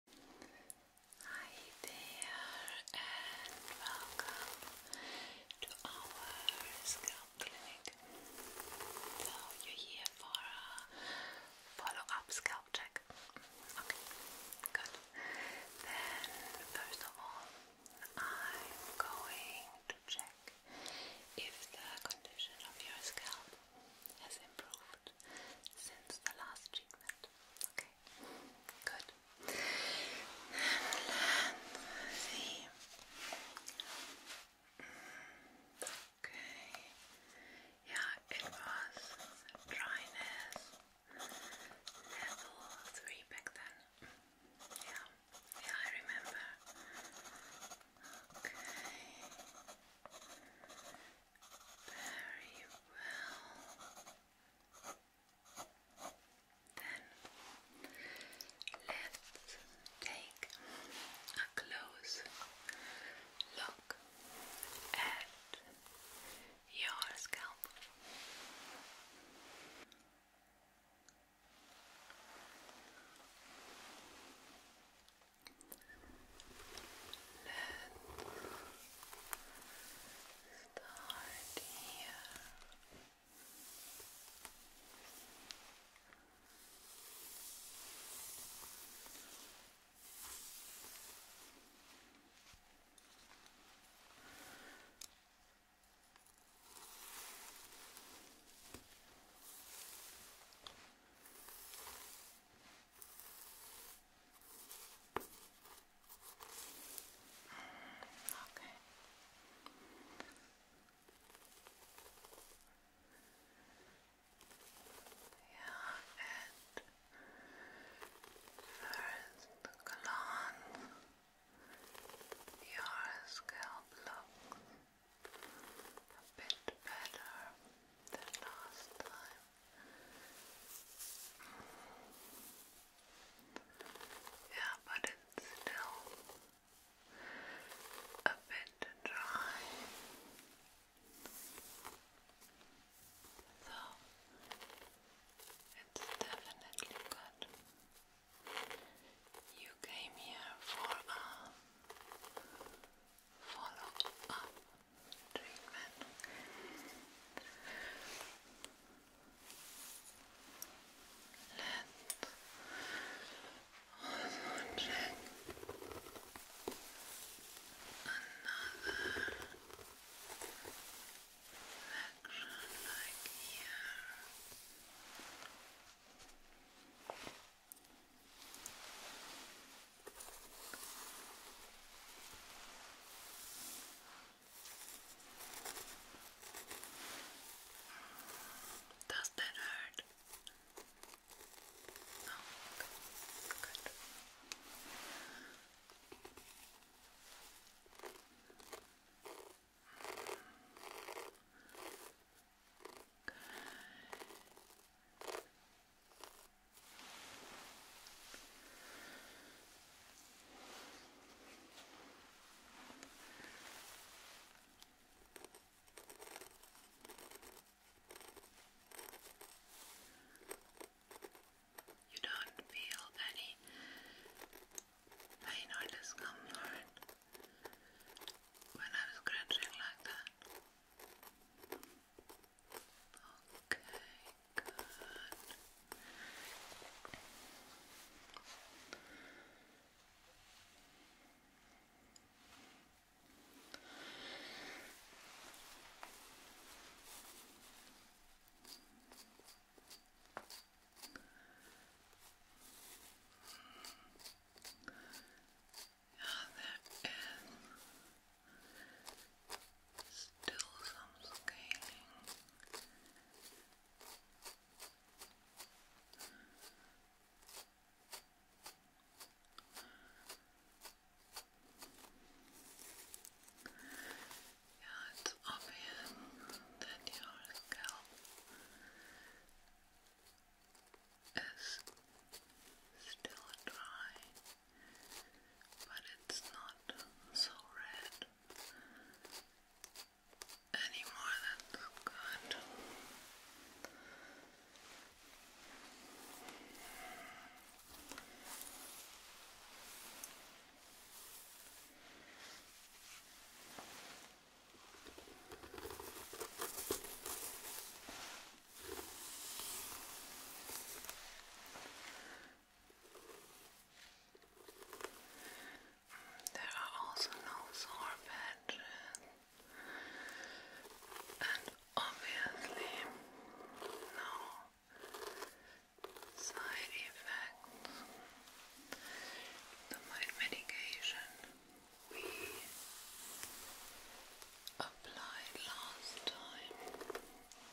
Hi there and welcome to our scalp clinic. So you're here for a follow-up scalp check. Okay, good. Then first of all, I'm going to check if the condition of your scalp has improved improved since the last treatment. Okay, good. And let's mm, Okay, yeah, it was dryness level 3 back then. Yeah, yeah, I remember. Okay. Very well. Then let's take a close look at your scalp. Let's start here. Okay. Yeah, and first glance, your scalp looks a bit better than last time. Yeah, but it's still a bit dry. So it's definitely good. You came here for a follow up treatment. Let's also another section like here. Does that hurt? No. Oh, good. Good. Good. You don't feel any pain or discomfort when I'm scratching like that. Okay, good. Yeah, there is Still some scaling. Yeah, it's obvious that your scalp is still dry but it's not so red anymore. That's good. There are also no sore patches, and obviously no side effects. The medication we applied last time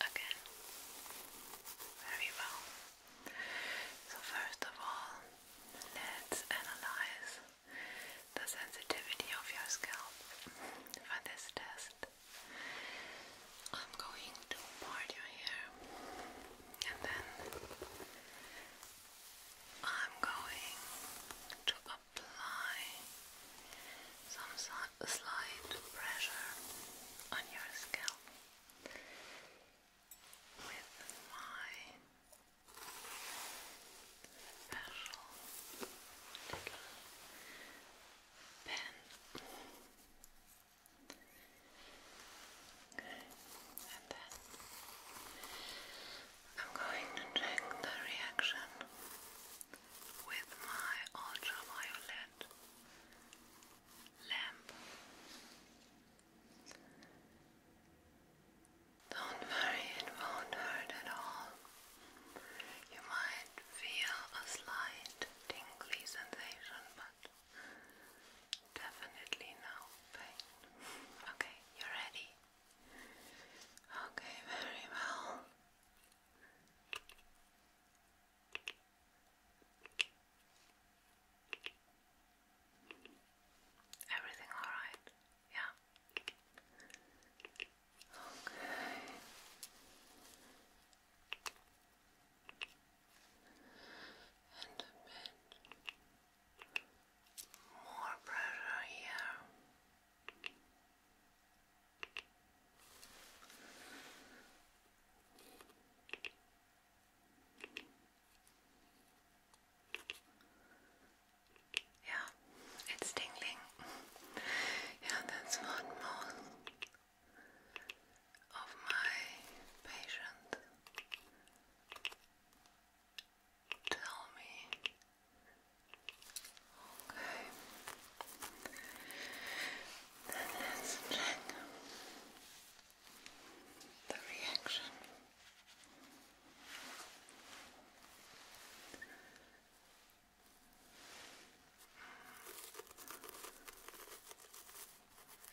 again. Very well. So, first of all, let's analyze the sensitivity of your scalp for this test. I'm going to part your hair and then I'm going to apply some slight pressure on your scalp with my special pen. Okay, and then I'm going to check the reaction with my ultraviolet lamp. Don't worry, it won't hurt at all. You might feel a slight tingly sensation, but definitely no pain. Okay, you're ready. Okay, very well. Everything all right? Yeah. Okay. And a bit more pressure here. Yeah, it's tingling. yeah, that's one more of my patients tell me. Okay. Then let's check the reaction.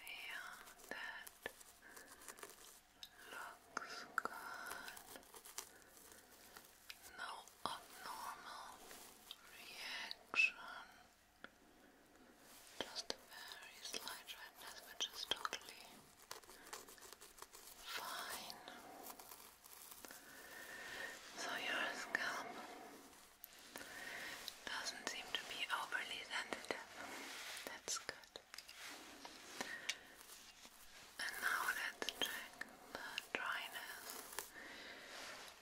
Yeah, that looks good. No abnormal reaction. Just a very slight redness, which is totally fine. So your scalp doesn't seem to be overly sensitive. That's good. And now let's check the dryness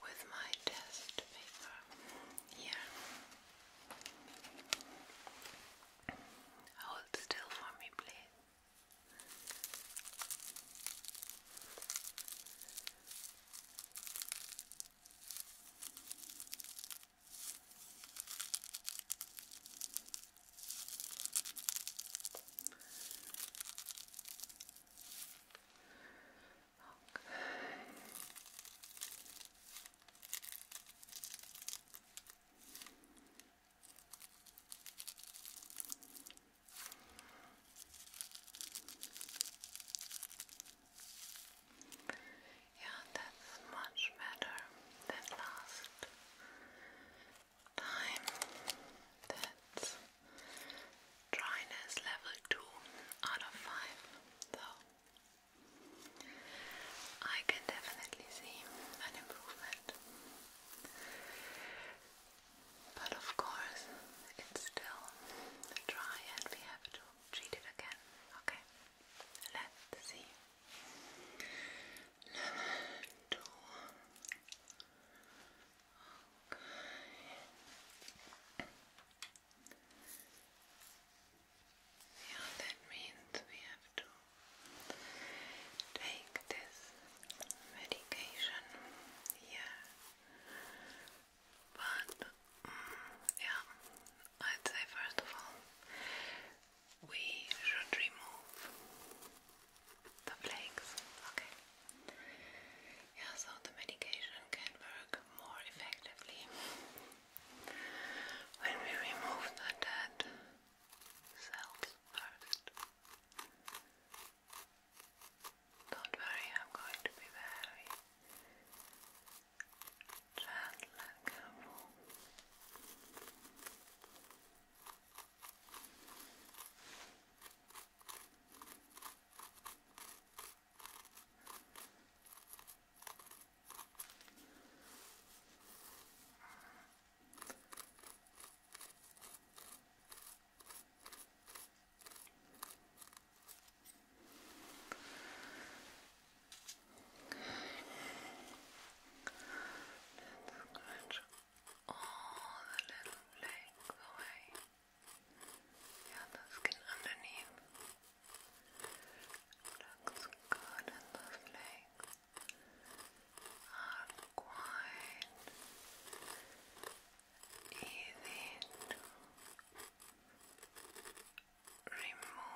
with my test paper. Yeah. Hold still for me, please. Okay. Yeah, that's much better than last time. That's Dryness level 2 out of 5. So I can definitely see an improvement. But of course, it's still dry and we have to treat it again. Okay, let's see. Level 2. Okay. Yeah, that means we have to take this medication here. But mm, yeah, I'd say first of all we should remove the flakes. Okay yeah, so the medication can work more effectively when we remove the dead cells first. Don't worry, I'm going to be very gentle Let's scratch all the little flakes away. Yeah, let's get underneath. Looks good and are quite easy to remove.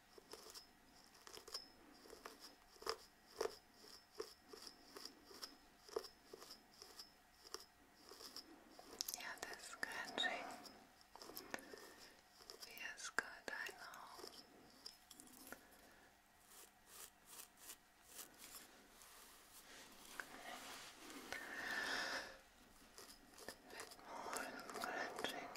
Yeah, this scratching feels good, I know. Okay. A bit here.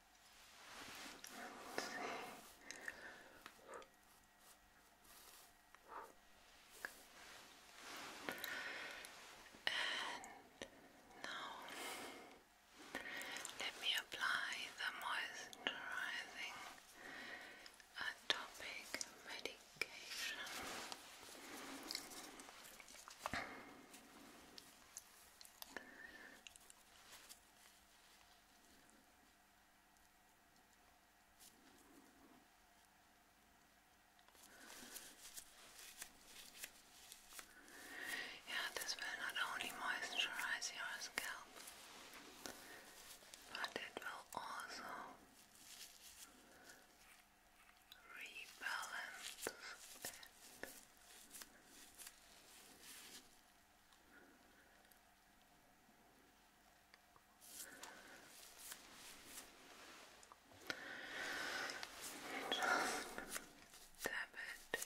Let's And now let me apply the moisturizing atopic uh, medication. Yeah, this will not only moisturize your scalp, but it will also rebalance it. Just dab it in.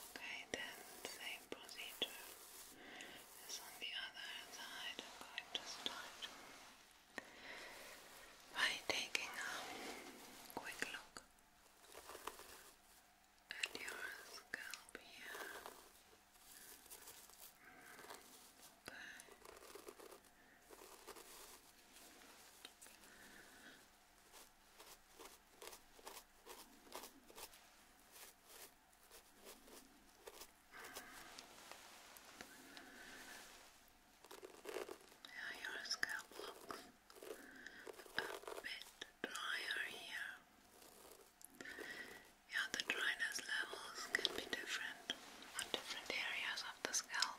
Okay, then same procedure as on the other side. I'm start by taking a quick look at your scalp here. Mm, now your scalp looks a bit drier here. Yeah, the dryness levels can be different on different areas of the scalp.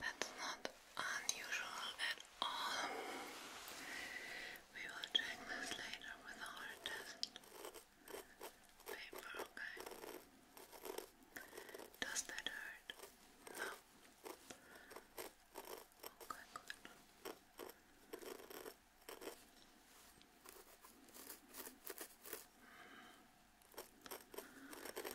That's not unusual at all. We will check this later with our test paper, okay? Does that hurt? No. Okay, but not Okay, good.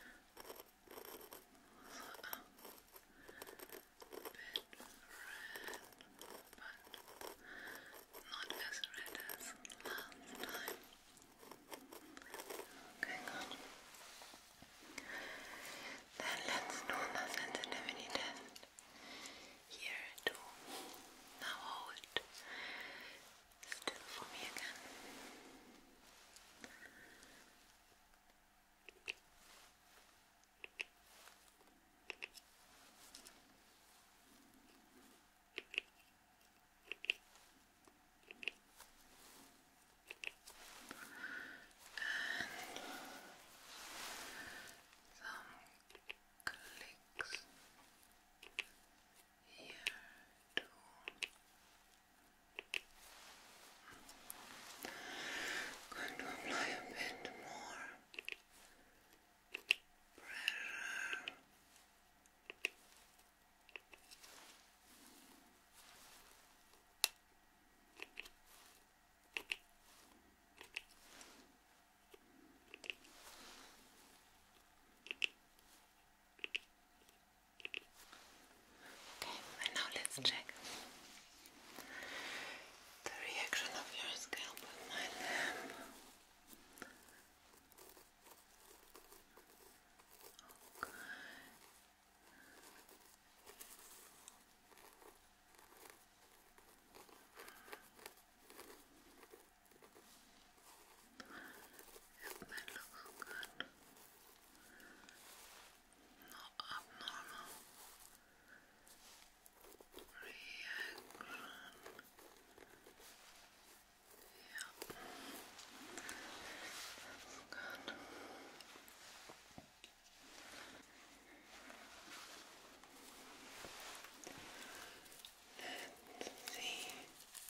Then let's do the sensitivity test. Here too. Now hold Still for me again. And some clicks here you Going a bit more pressure. Okay, and now let's check the reaction of your scalp with my lamp. Okay. If that looks good, not abnormal reaction. Yeah, that's good. Let's see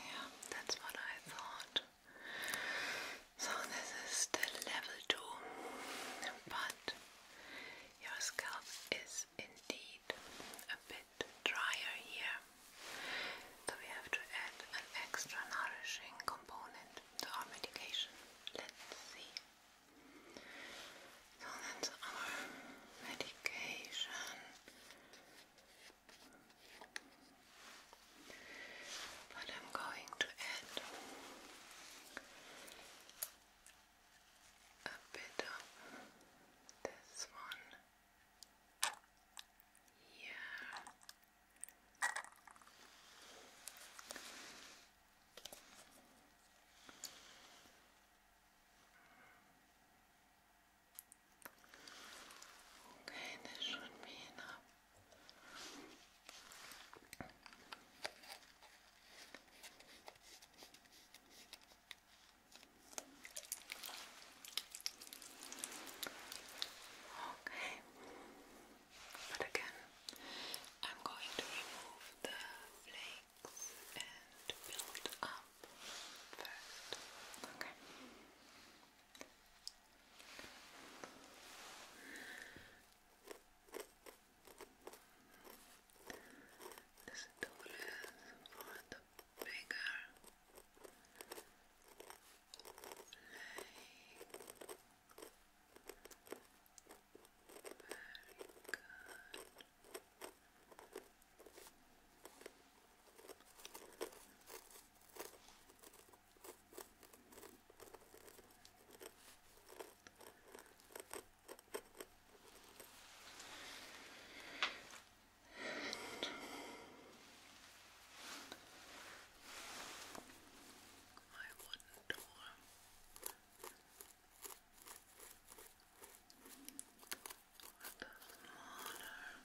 Yeah, that's what I thought. So, this is still level 2, but your scalp is indeed a bit drier here. So we have to add an extra nourishing component to our medication. Let's see. So that's our medication. But I'm going to add a bit of this one here. Okay, this should be enough. Okay. But again, I'm going to remove the flakes and build up first. Okay the stoolers for the bigger leg. Very good. And my wooden door. With a smaller playing.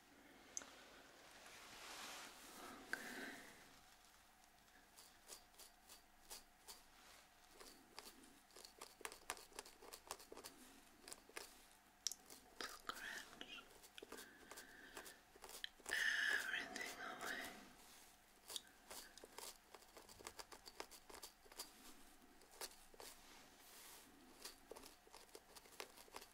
Scratch everything away.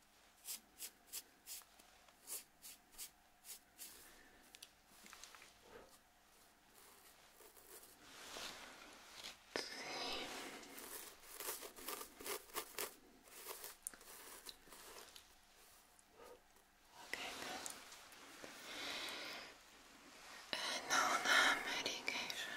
Okay, good. medication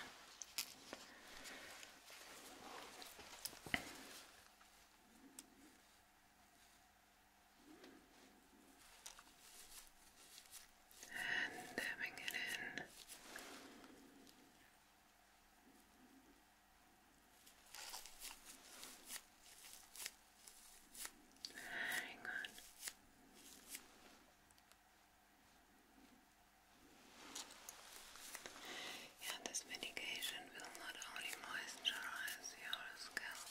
and dabbing it in. Very good. Yeah, this medication will not only moisturize your scalp,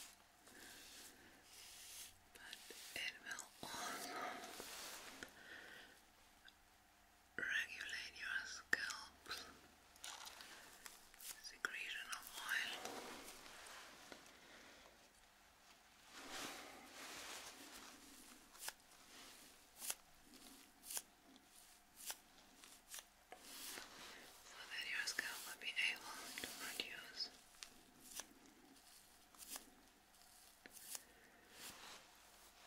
but it will also regulate your scalp's secretion of oil. Now so that your scalp will be able to produce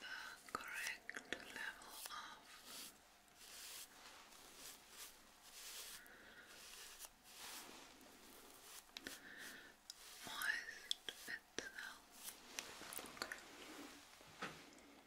the correct level of moist itself.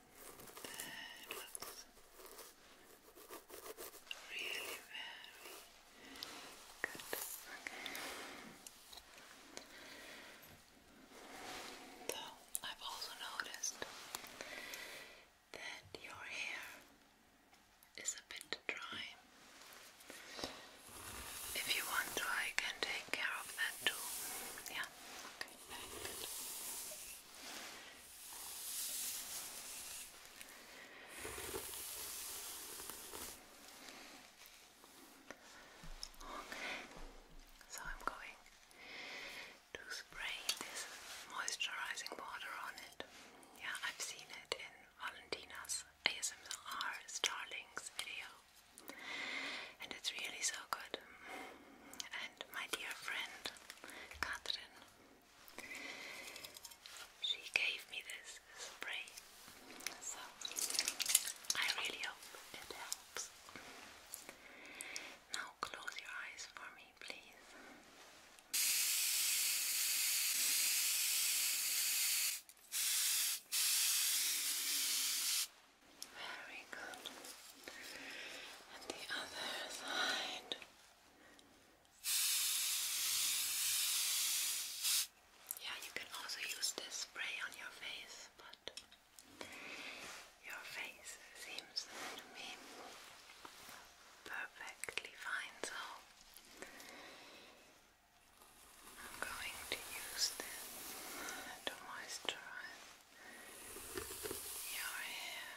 That looks really very good. Okay. I've also noticed that your hair is a bit dry. If you want to, I can take care of that too. Yeah. Okay so I'm going to spray this moisturizing water on it. Yeah, I've seen it in Valentina's ASMR Starlings video, and it's really so good my dear friend Catherine. She gave me this spray, so I really hope it helps. Now close your eyes for me, please. Very good and the other side. Yeah, you can also use this spray on your face, but your face seems to me perfectly fine, so I'm going to use this to moisturize your hair.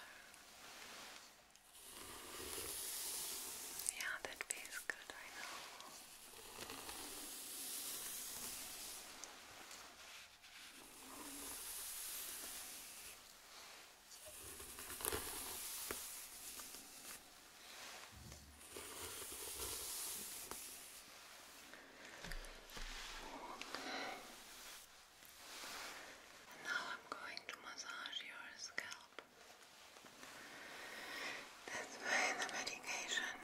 Yeah, that feels good, I know. Okay now I'm going to massage your scalp. That's why the medication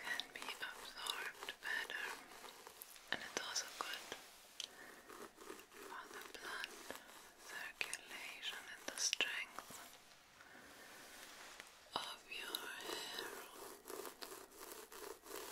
can be absorbed better. And it's also good for the blood circulation and the strength of your hair.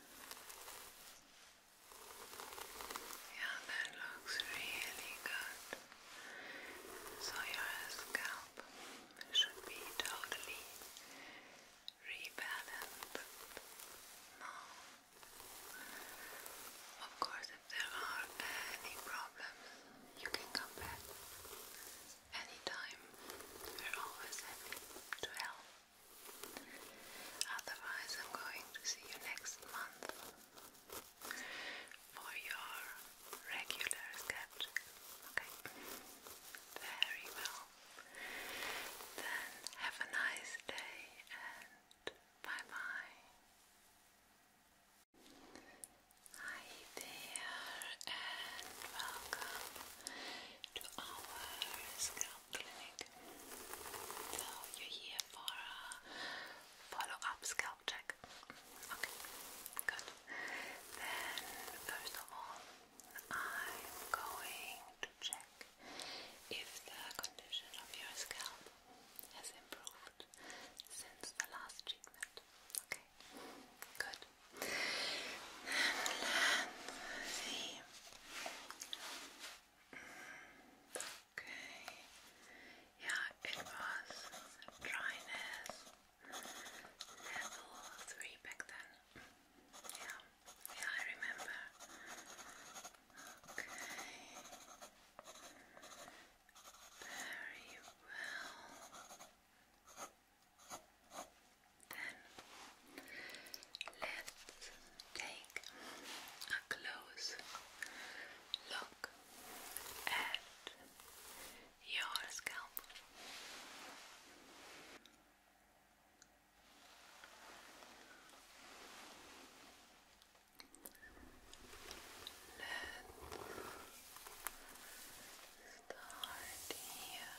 Yeah, that looks really good. So your scalp should be totally rebalanced now. Of course, if there are any problems, you can come back anytime. We're always happy to help. Otherwise, I'm going to see you next month for your regular sketch. Okay? Very well. Then have a nice day and bye bye. Hi there and welcome to our scalp clinic. So you're here for a follow-up scalp check. Okay, good. Then first of all, I'm going to check if the condition of your scalp has improved since the last treatment. Okay, good left. And Okay. Yeah, it was dryness level 3 back then. Yeah, yeah, I remember. Okay. Very well. Then let's take a close look at your scalp. Let's start here.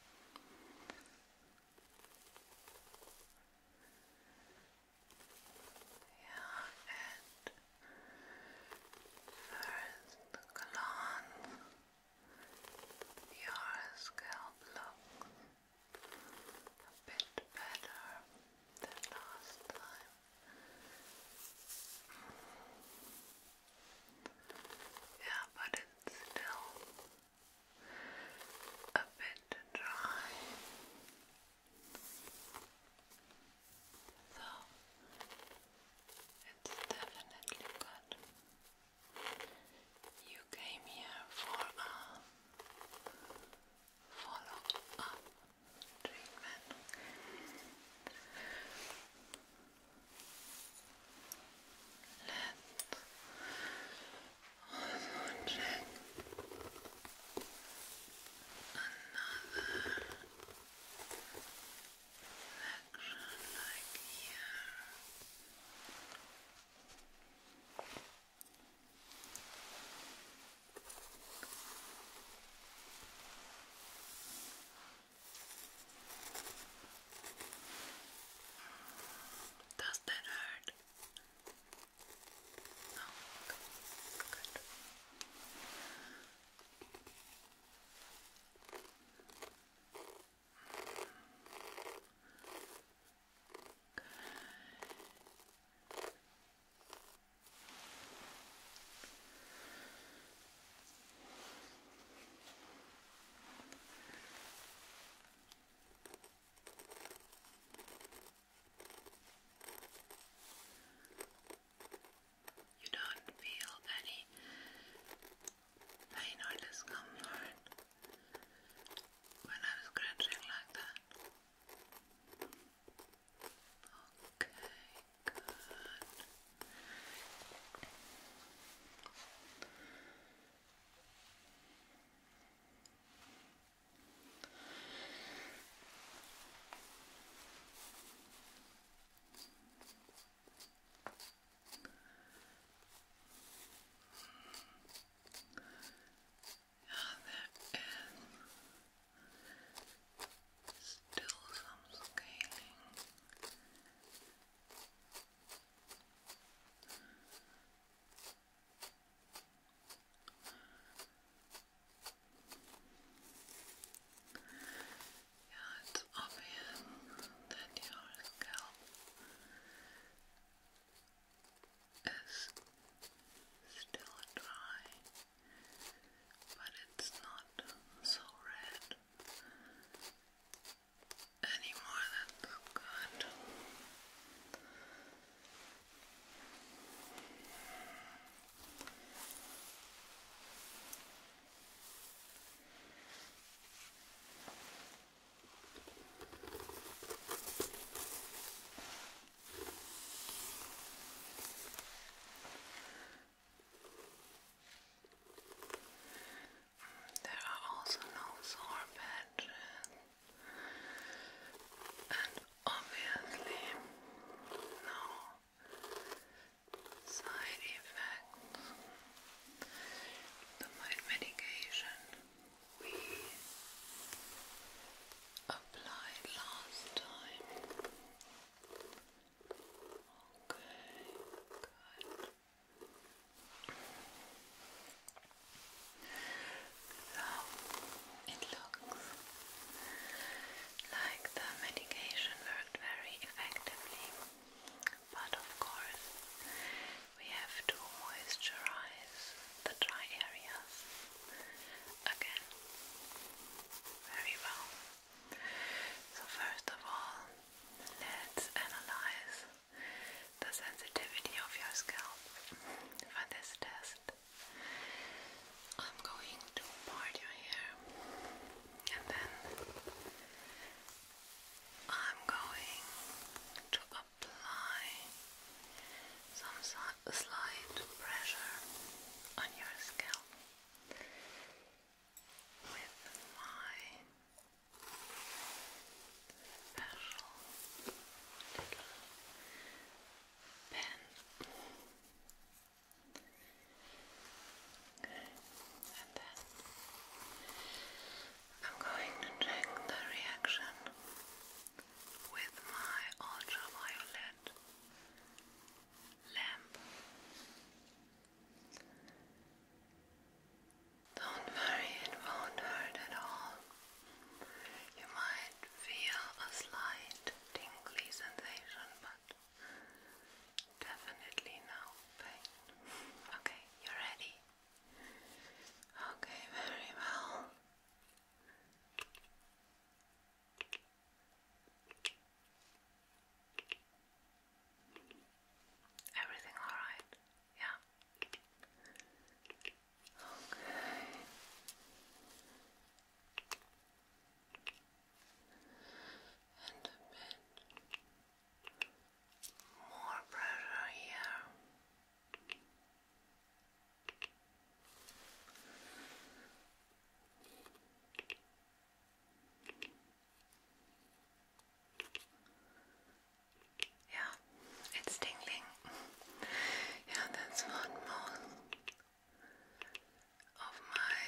and first glance your scalp looks a bit better than last time. Yeah, but it's still a bit dry. So it's definitely good. You came here for a follow up treatment. Let also check another section like here. Does that hurt? No. Good. Good. You don't feel any pain or discomfort when I'm scratching like that. Okay, good. Yeah, there is still some scaling yeah, it's obvious that your scalp is still dry, but it's not so red any more that good. There are also no sore patches, and obviously no side effects. The medication we applied last time. Okay, good. So it looks like the medication worked very effectively, but of course we have to moisturize the dry areas again very well. So first of all, let's analyze the sensitivity of your scalp for this test. I'm going to part your hair and then I'm going to apply some slight pressure on your scalp with my special little I'm going to check the reaction with my ultraviolet lamp. Don't worry, it won't hurt at all. You might feel a slight tingly sensation, but definitely no pain. Okay, you ready? Okay, very well. Everything alright? Yeah? Okay. And a bit more pressure here. Yeah, it's tingling. yeah, that's what most of my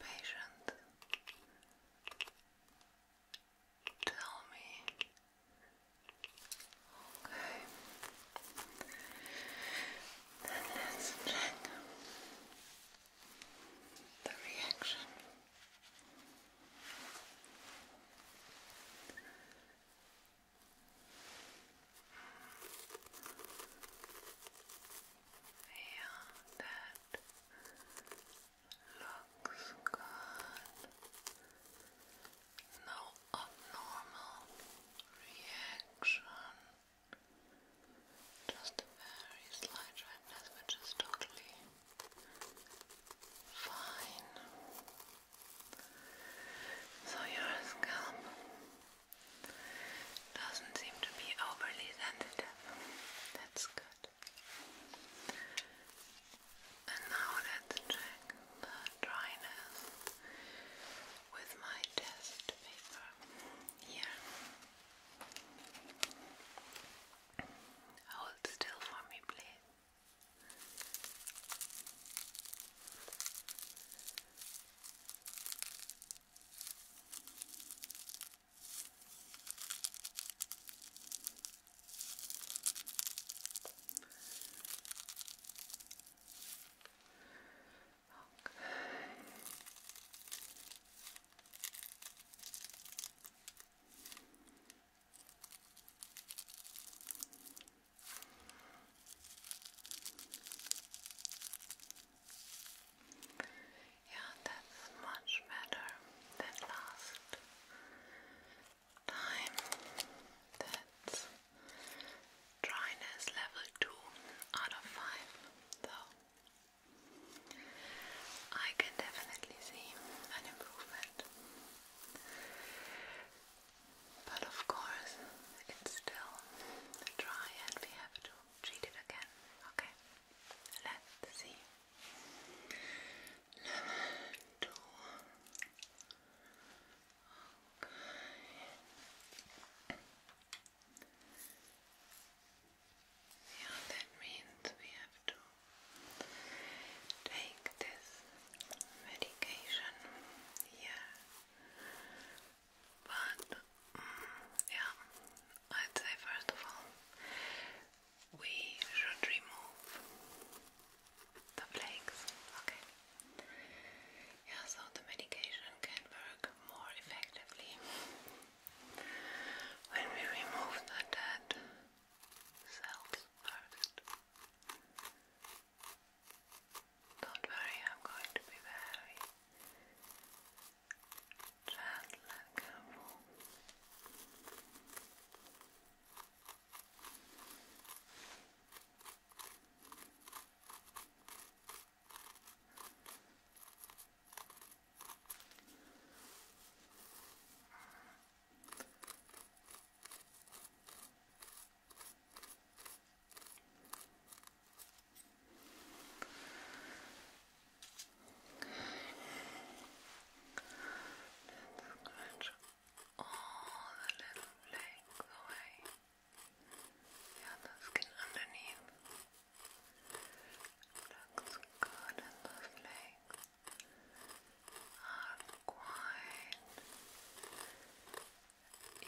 patients tell me. Okay. Then let's check the reaction. Yeah, that looks good. No abnormal reaction. Just a very slight redness, which is totally Fine. So your scalp doesn't seem to be overly sensitive. That's good. And now let's check the dryness with my test paper here. Hold still for me, please. Okay. Yeah, that's much better than last time. That's dryness level 2 out of 5, though. I can definitely see an improvement. But of course, it's still dry and we have to treat it again. Okay, let's see. Level two. Okay. Yeah, that means we have to take this medication here. But, mm, yeah, I'd say first of all, we should remove the flakes, okay? Yeah, so the medication can work more effectively when we remove the dead cells first. Don't worry, I'm going to be very gentle and careful. Let's scratch all the little flakes away. The other skin underneath. Looks good in the flakes are quite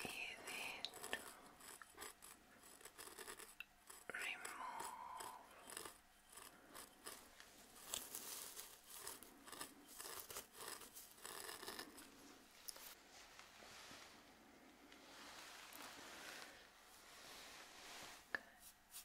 easy to remove.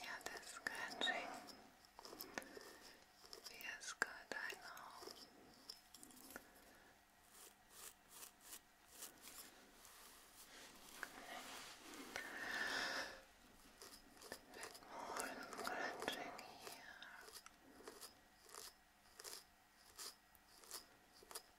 Yeah, this scratching feels good, I know. A bit more scratching here.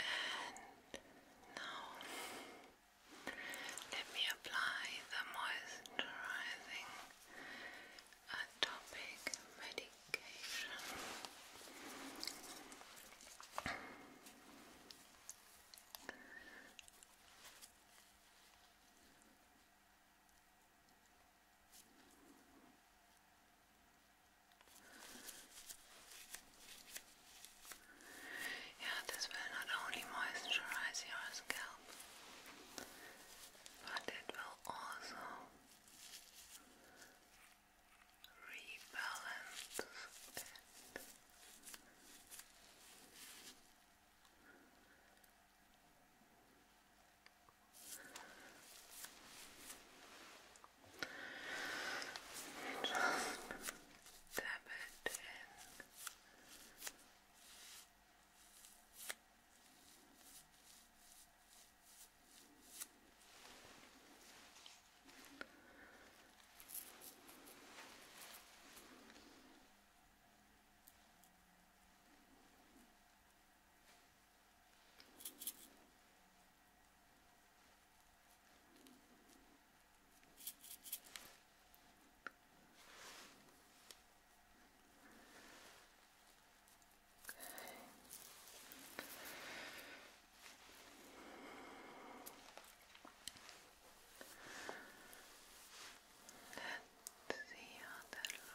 And now let me apply the moisturizing atopic uh, medication. Yeah, this will not only moisturize your scalp, but it will also rebalance just tap it in. Just Let's see how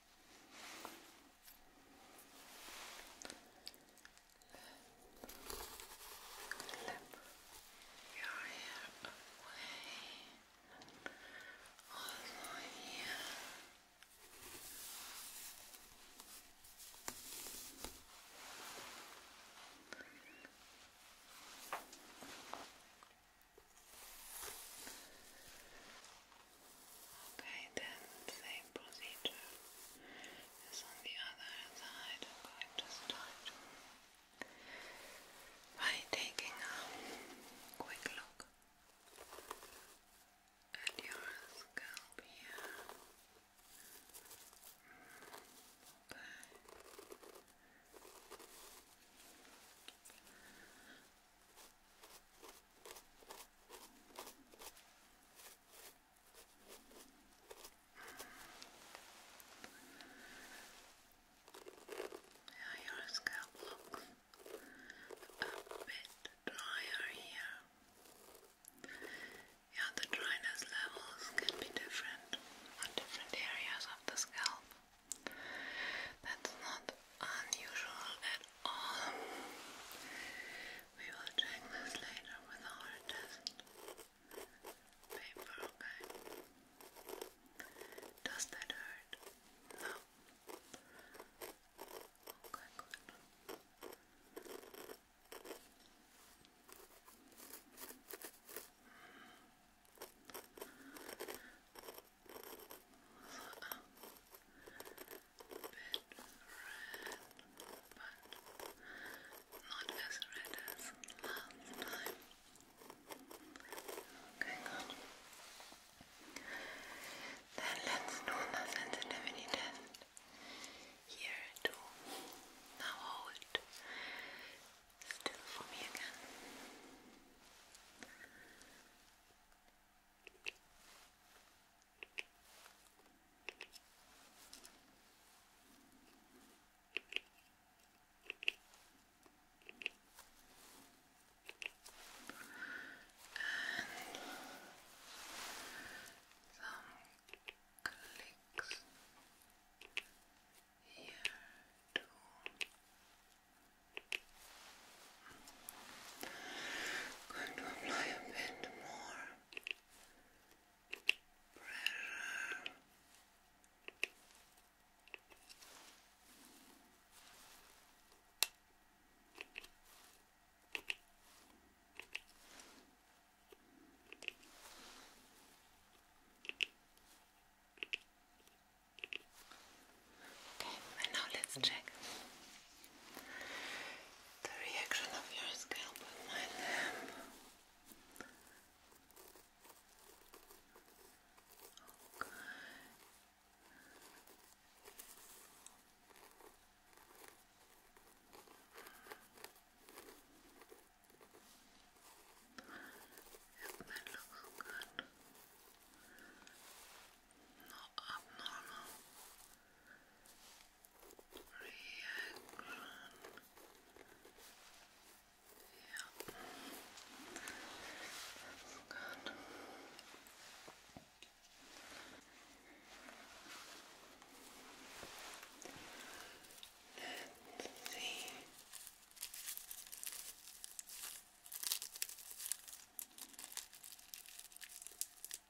Clip your hair away. Also here. Okay, then same procedure as on the other side. I'm going to start by taking a quick look at your scalp here. Okay. Yeah, your scalp looks a bit drier here. Yeah, the dryness levels can be different on different areas of the scalp. That's not unusual at all. We will check this later with our test paper, okay? Does that hurt? Okay, good. Uh, bit red, but not as red as last Okay, Then let's do the sensitivity Here too. Now hold still for me again some clicks here too. Going to apply a bit more pressure. Okay, and now let's check the reaction of your scalp with my lamp. Okay. Yep, looks good not abnormal reaction. Yeah, that's good. Let's see. Good.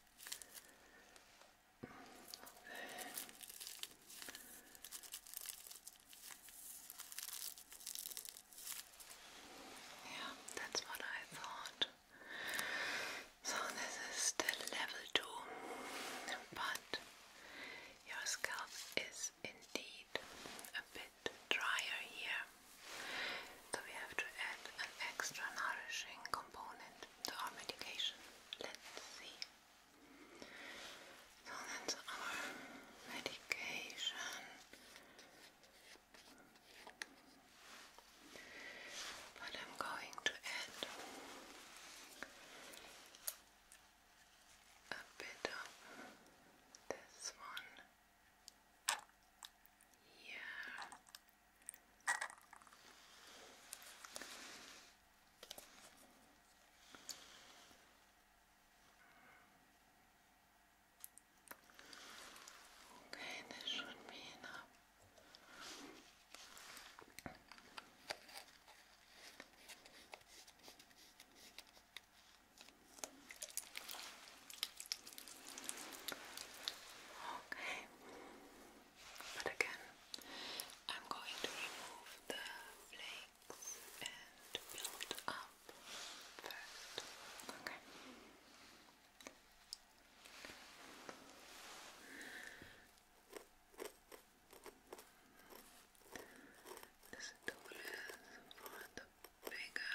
Then yeah, that's what I thought. So this is still level two, but your scalp is indeed a bit drier here so we have to add an extra nourishing component to our medication. Let's see. So that's our medication. But I'm going to add a bit of this one here. Okay, this should be enough. Okay, okay? But again, I'm going to remove the flakes and build up first, okay? This tool for the bigger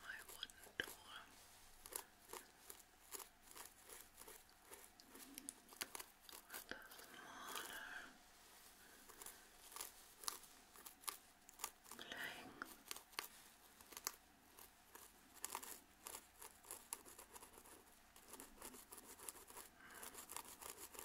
my wooden door. With the smaller playing. Mm.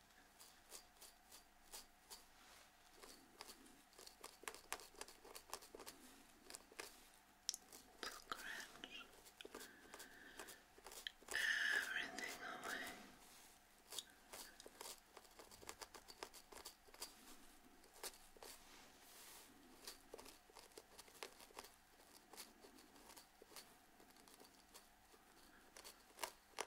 Scratch everything away. Good.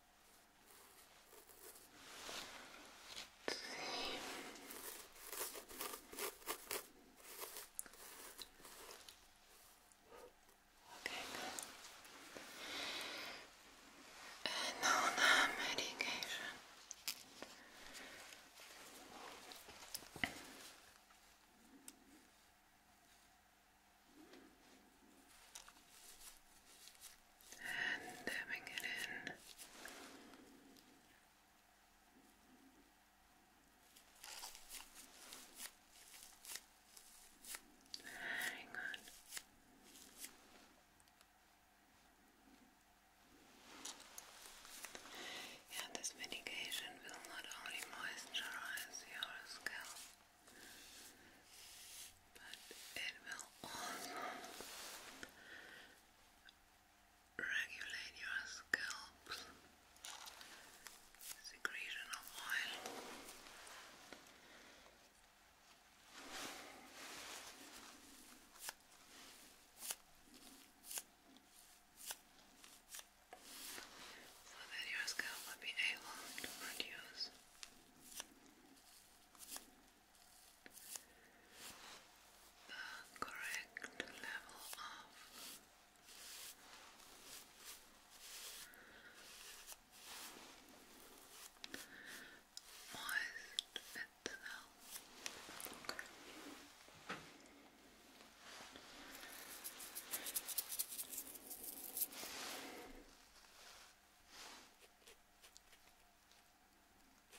Let's Okay, good. medication and dabbing it in. Very good. Yeah, this medication will not only moisturize your scalp, but it will also regulate your scalp's secretion of oil. So that your scalp will be able to produce the correct level of moist itself. Very good. Yeah,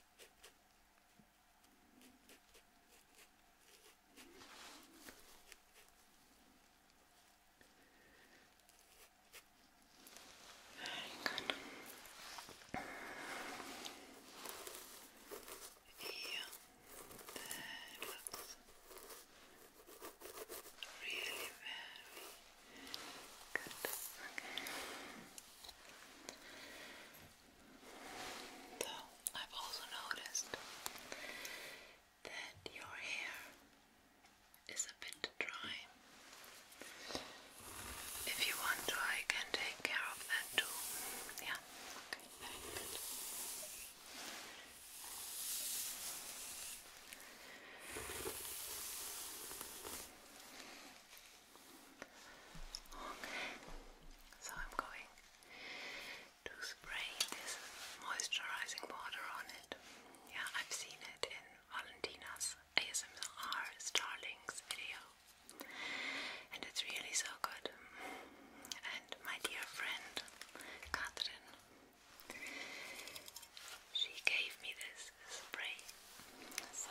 that looks really very Good. So I've also noticed that your hair is a bit dry. If you want I can take care of that too. Yeah. Okay, so I'm going to spray this moisturizing water on it. Yeah, I've seen it in Valentina's ASMR Starlings video, and it's really so good. And my dear friend Catherine, she gave me this spray. So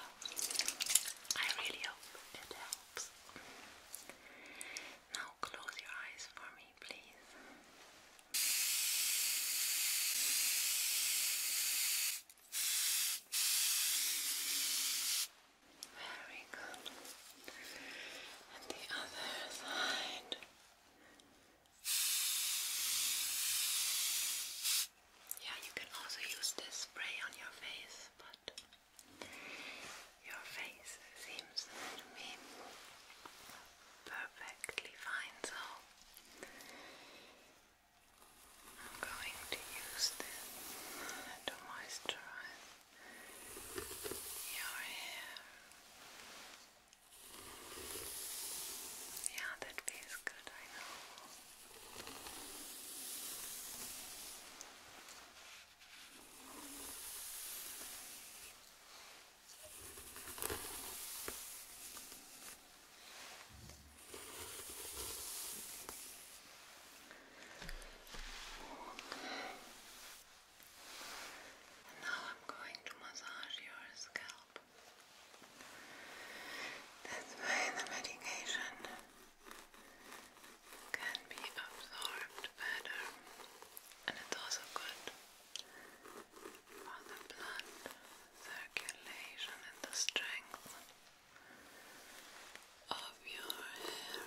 I really hope it helps. Now close your eyes for me, please. Very good. And the other side. Yeah, you can also use this spray on your face, but your face seems to me perfectly fine, so I'm going to use this to moisturize your hair. Yeah, that feels good, I know. now I'm going to massage your scalp. That's why the medication can be absorbed better, and it's also good for the blood circulation and the strength of your hair.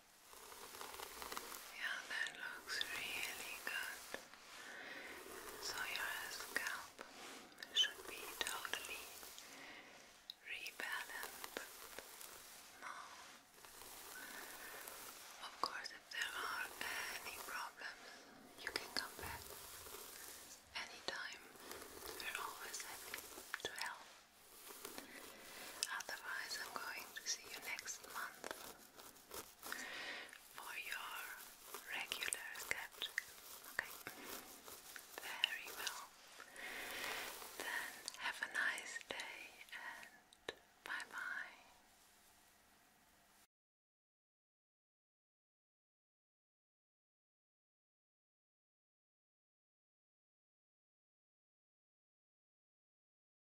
Yeah, that looks really good. So your scalp should be totally rebalanced now. Of course, if there are any problems, you can come back anytime. We're always happy to help. Otherwise, I'm going to see you next month for your regular sketch. Okay, very well. Then have a nice day and bye bye.